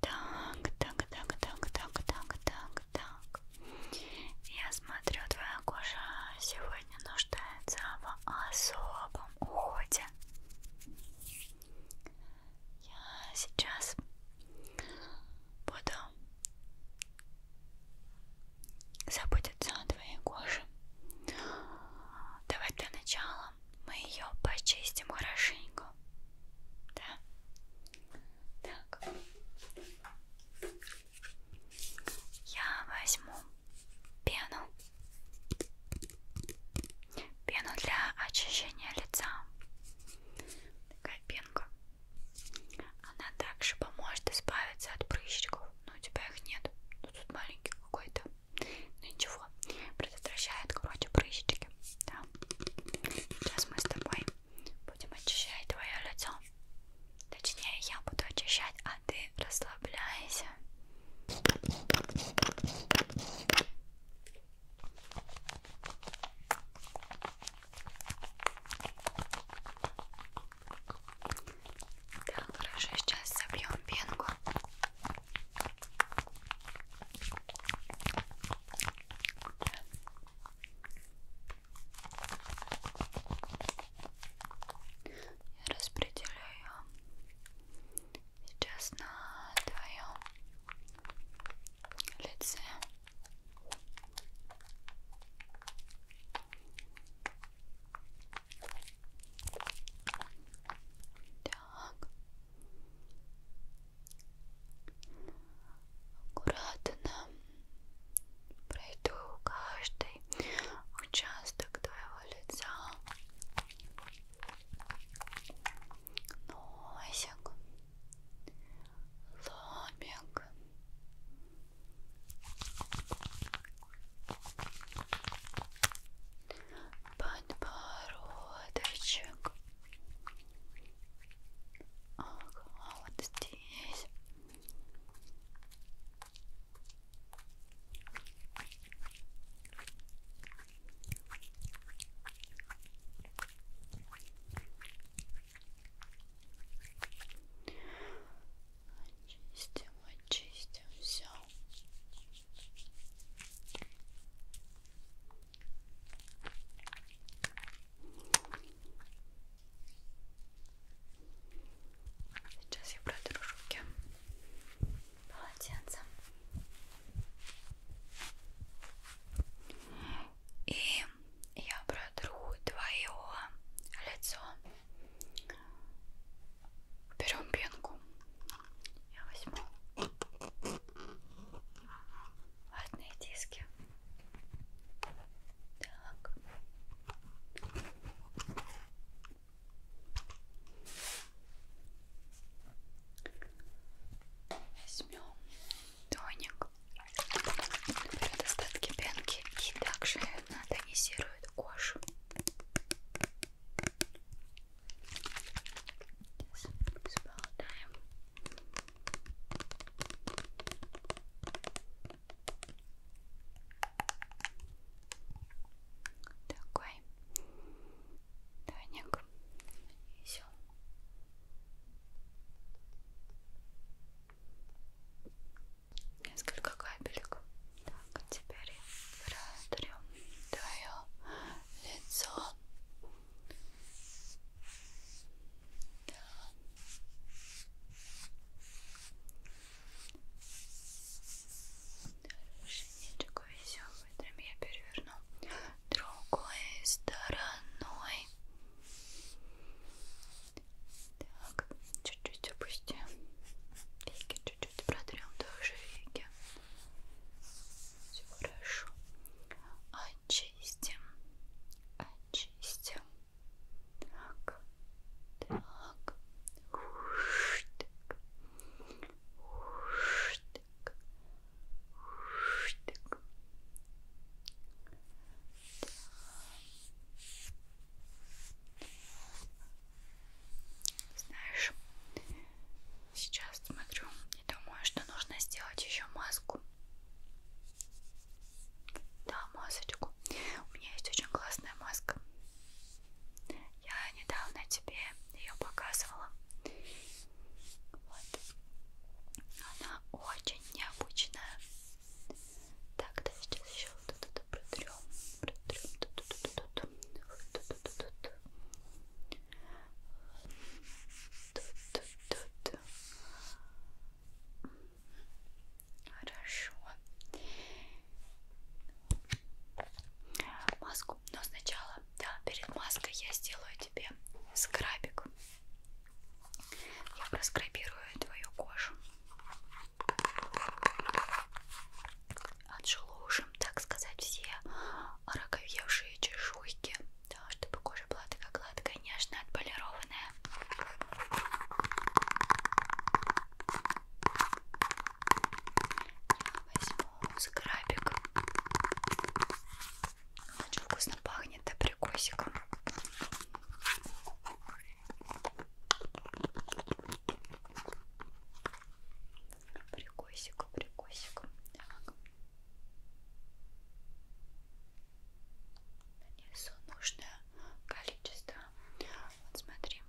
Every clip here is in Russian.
Так, так, так, так, так, так, так, так. Я смотрю, твоя кожа сегодня нуждается в особом уходе. Я сейчас буду заботиться о твоей коже. Давай для начала потом мы ее почистим хорошенько. Да. Так. Я возьму пену. Пену для очищения лица. Такая пенка. Она также поможет избавиться от прыщиков. Но ну, у тебя их нет. Но ну, тут маленький какой-то. Ну ничего, его предотвращает короче прыщики да. сейчас мы с тобой будем очищать твое лицо точнее я буду очищать а ты расслабляйся так, хорошо, сейчас собьем пенку я распределю ее сейчас на твоем лице. Так. Аккуратно пройду каждый участок твоего лица. Носик, лобик. Подбородочек, Ага, вот здесь. Очистим, очистим все. Сейчас я протру руки полотенцем и я протру твое лицо. Берем пенку я возьму ватные диски. Так. Возьмем тоник. Наберет остатки пенки и также она тонизирует кожу. This is about time. Такой тоник все. Несколько капелек. Так, а теперь протрем твое лицо. Да. Дальше ничего веселого. Там я переверну другой стороной. Так, чуть-чуть опустим. Веки чуть-чуть протрем тоже веки. Все хорошо. Очистим. Очистим. Так. Так. Уштик. Уштик. Уштик. Так. Знаешь, Сейчас смотрю и думаю, что нужно сделать еще маску. Да, масочку. У меня есть очень классная маска. Я недавно тебе ее показывала. Вот. Она очень необычная. Так, да, сейчас еще вот это протрем. Протрем. Тут, тут, тут, тут. Вот, тут, тут, тут. Тут, тут, тут. Хорошо. Маску. Но сначала, да, перед маской я сделаю тебе скрабик. Я проскрабирую твою кожу. Отшелушим, так сказать, все ороговевшие чешуйки да, чтобы кожа была такая гладкая, нежная, отполированная. Я возьму скрабик. Он очень вкусно пахнет, да, прикусиком прикосик, прикосик. Так. Нанесу нужное количество. Вот смотри,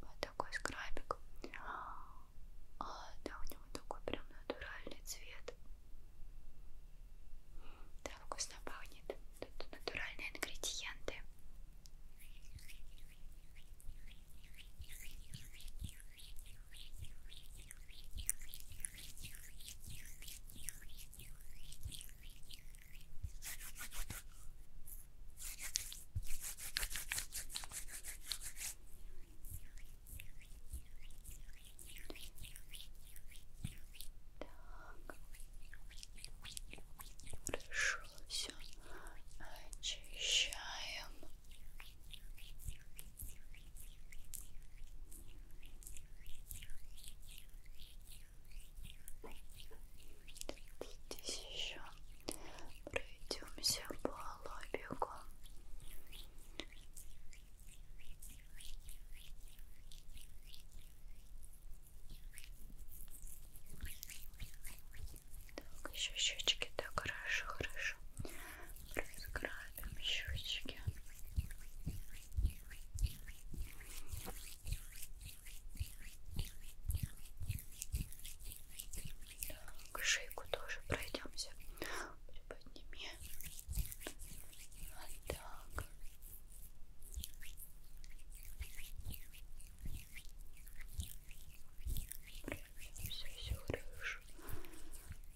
вот такой скрабик. А, да, у него такой прям натуральный цвет. Да, вкусно пахнет. Тут натуральные ингредиенты. Хорошо, все очищаем. Здесь еще пройдемся по лобику. Так, еще щечки так хорошо, хорошо хорошо. Разграбим щечки. Так, шейку тоже пройдемся. Подними. Вот так все-все хорошо.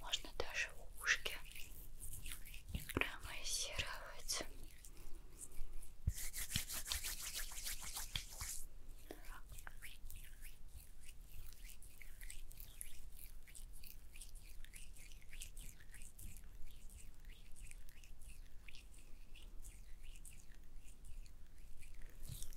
Можно даже ушки промассировать.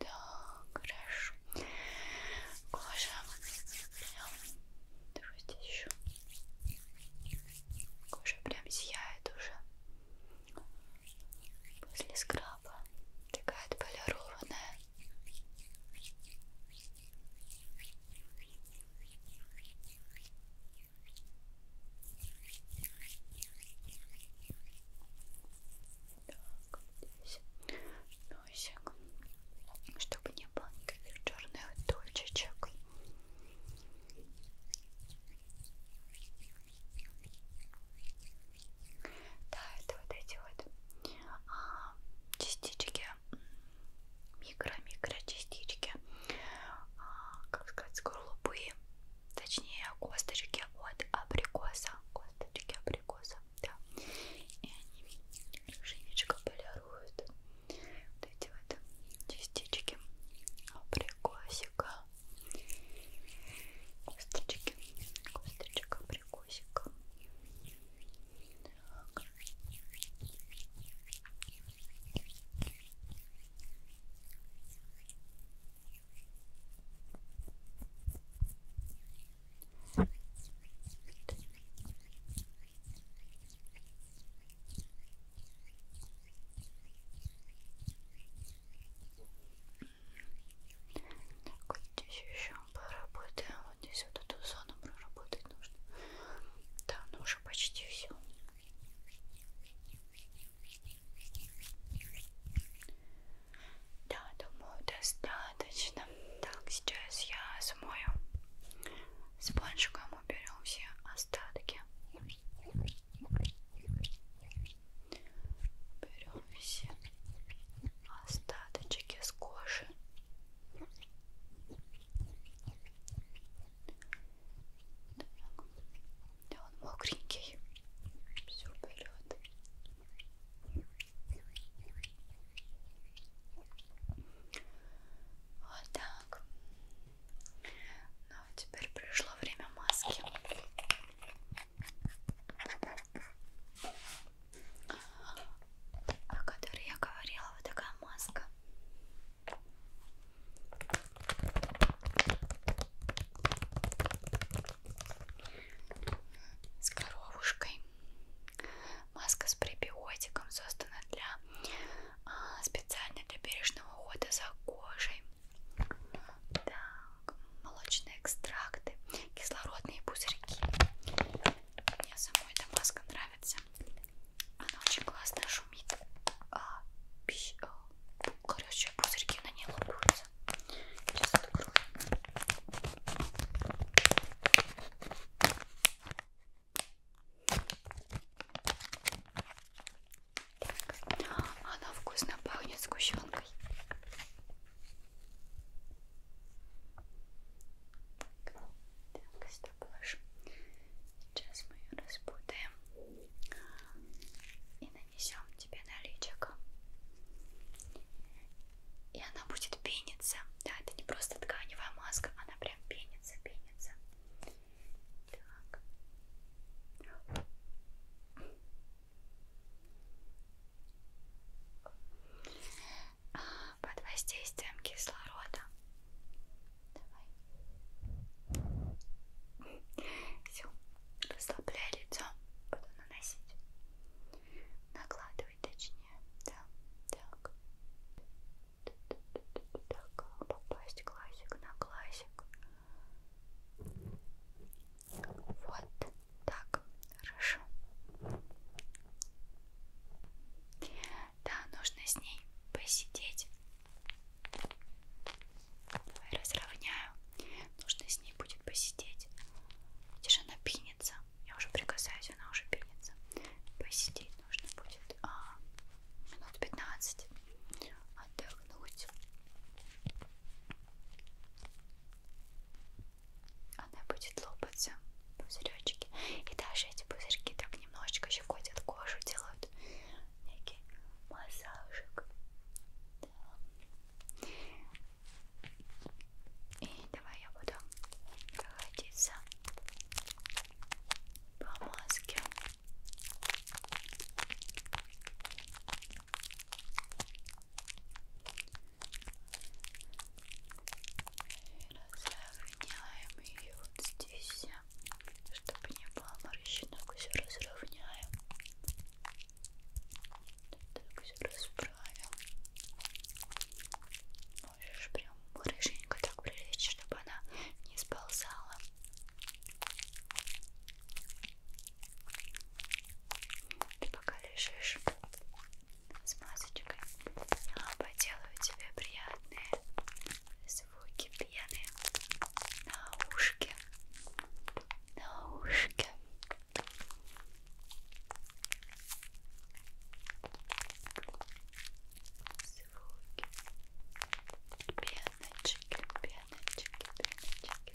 Да, хорошо. Кожа прям. Давай здесь еще. Кожа прям сияет уже. После скраба такая отполированная. Так, здесь носик, ну, чтобы не было никаких черных точечек. Да, это вот эти вот а, частички микро-микро частички, а, как сказать, скорлупы, точнее косточки от абрикоса, косточки абрикоса, да, и они хорошенечко полируют вот эти вот частички абрикосика, косточки, косточек абрикосика. Так. Так, вот здесь еще проработаем. Вот здесь вот эту зону проработать нужно. Да, ну уже почти все у меня. Да, думаю, достаточно. Так, сейчас я смою спонжиком, уберем все остатки. Берем все остаточки с кожи да он мокренький. Все берет. Вот так. Ну, а теперь пришло время маски. О которой я говорила, вот такая маска с коровушкой. Маска с пребиотиком создана для а, специально для бережного ухода за кожей. Так, молочные экстракты, кислородные пузырьки. Мне самой эта маска нравится нравится. Она очень классно шумит. А, пищ, а, короче, пузырьки на ней лопаются. Сейчас открою. Так, она вкусно пахнет сгущенкой. Так, так, что положим? Сейчас мы ее распутаем и нанесем тебе на личико. И она будет пениться. Да, это не просто тканевая маска, она прям пенится, пенится. Так. А, под воздействием кислорода Давай. Все, расслабляй лицо, буду наносить. Накладывай точнее. Да, так. Так, попасть классик на классик. Вот так, хорошо. Да, нужно с ней посидеть Давай разровняю. Нужно с ней будет посидеть. Видишь, она пинется. Я уже прикасаюсь, она уже пинется. Посидеть нужно будет а, минут 15. Отдохнуть. Она будет лопаться пузыречки. И даже эти пузырьки так немножечко щекотят кожу, делают некий массажик. Да. И давай я буду проходиться по маске. И разровняем ее вот здесь чтобы не было морщинок, все разровняем. Так, все расправим. Можешь прям хорошенько так прилечь, чтобы она не сползала. Ты пока лежишь с масочкой, я поделаю тебе приятные звуки пены на ушке, на ушке. Звуки пеночки, пеночки, пеночки. Звуки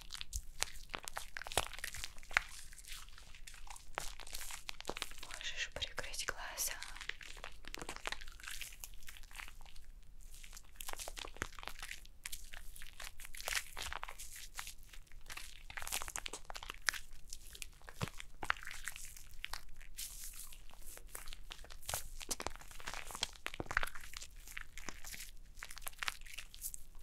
Можешь прикрыть глаза.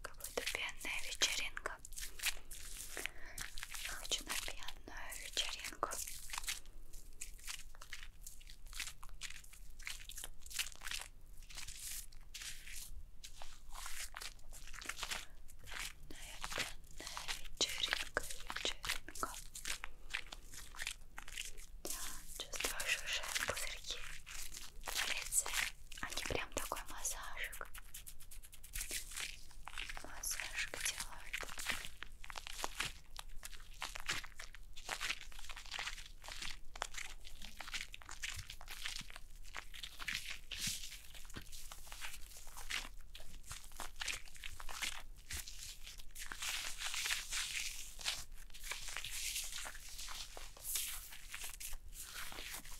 Какая-то пьяная вечеринка. Хочу на пьяную вечеринку. Темная, темная вечеринка, вечеринка. Я чувствую шуршат пузырьки на лице. Они а прям такой массажик. Массажик делают.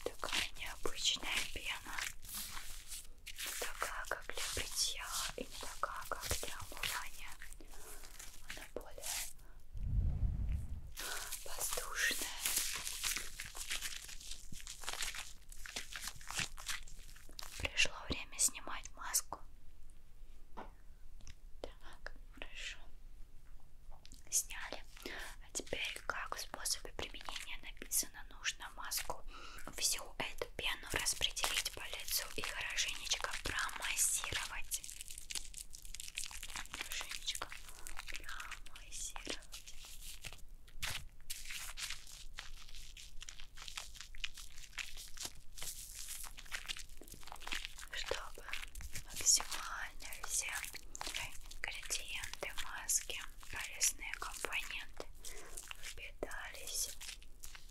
Такая необычная пена, такая как для бритья и не такая, как для умывания. Она более воздушная. Пришло время снимать маску. Так, хорошо. Сняли. А теперь, как в способе применения написано, нужно маску всю эту эту пену распределить по лицу и хорошенечко промассировать. Хорошенечко промассировать. Чтобы максимально все ингредиенты маски, полезные компоненты впитались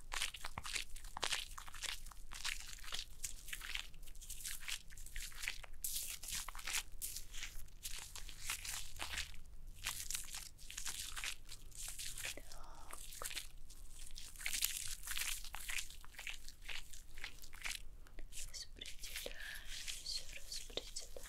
распределяем, все распределяем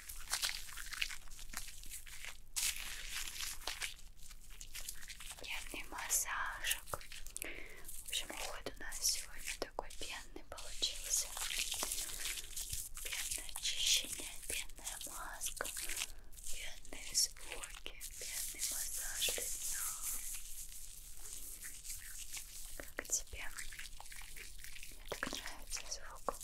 Пенный массажик. В общем, уход у нас сегодня такой пенный получился. Пенное очищение, пенная маска, пенные звуки, пенный массаж лица. Как тебе? Мне так нравится звук.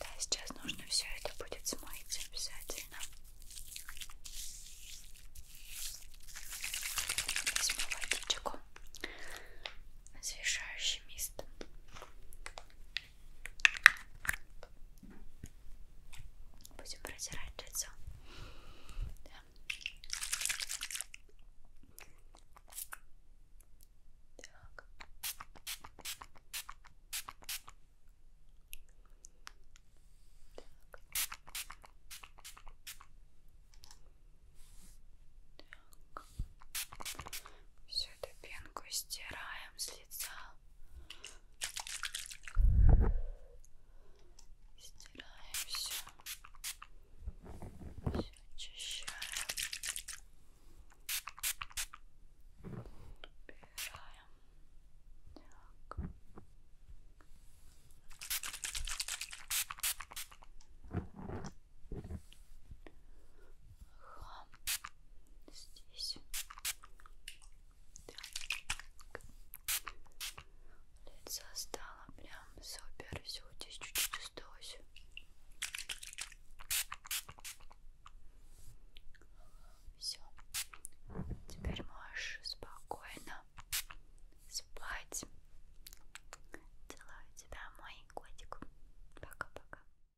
Да, сейчас нужно все это будет смыть обязательно. Возьму водичку, освежающий мист. Будем протирать лицо. Да. Так. Так. Так. Всю эту пенку стираем с лица. Стираем все. Все очищаем. Убираем. Так хлам здесь. Так. Лицо стало прям супер. Все здесь чуть-чуть осталось. Все. Теперь можешь спокойно спать. Целую тебя, мой котик. Пока-пока.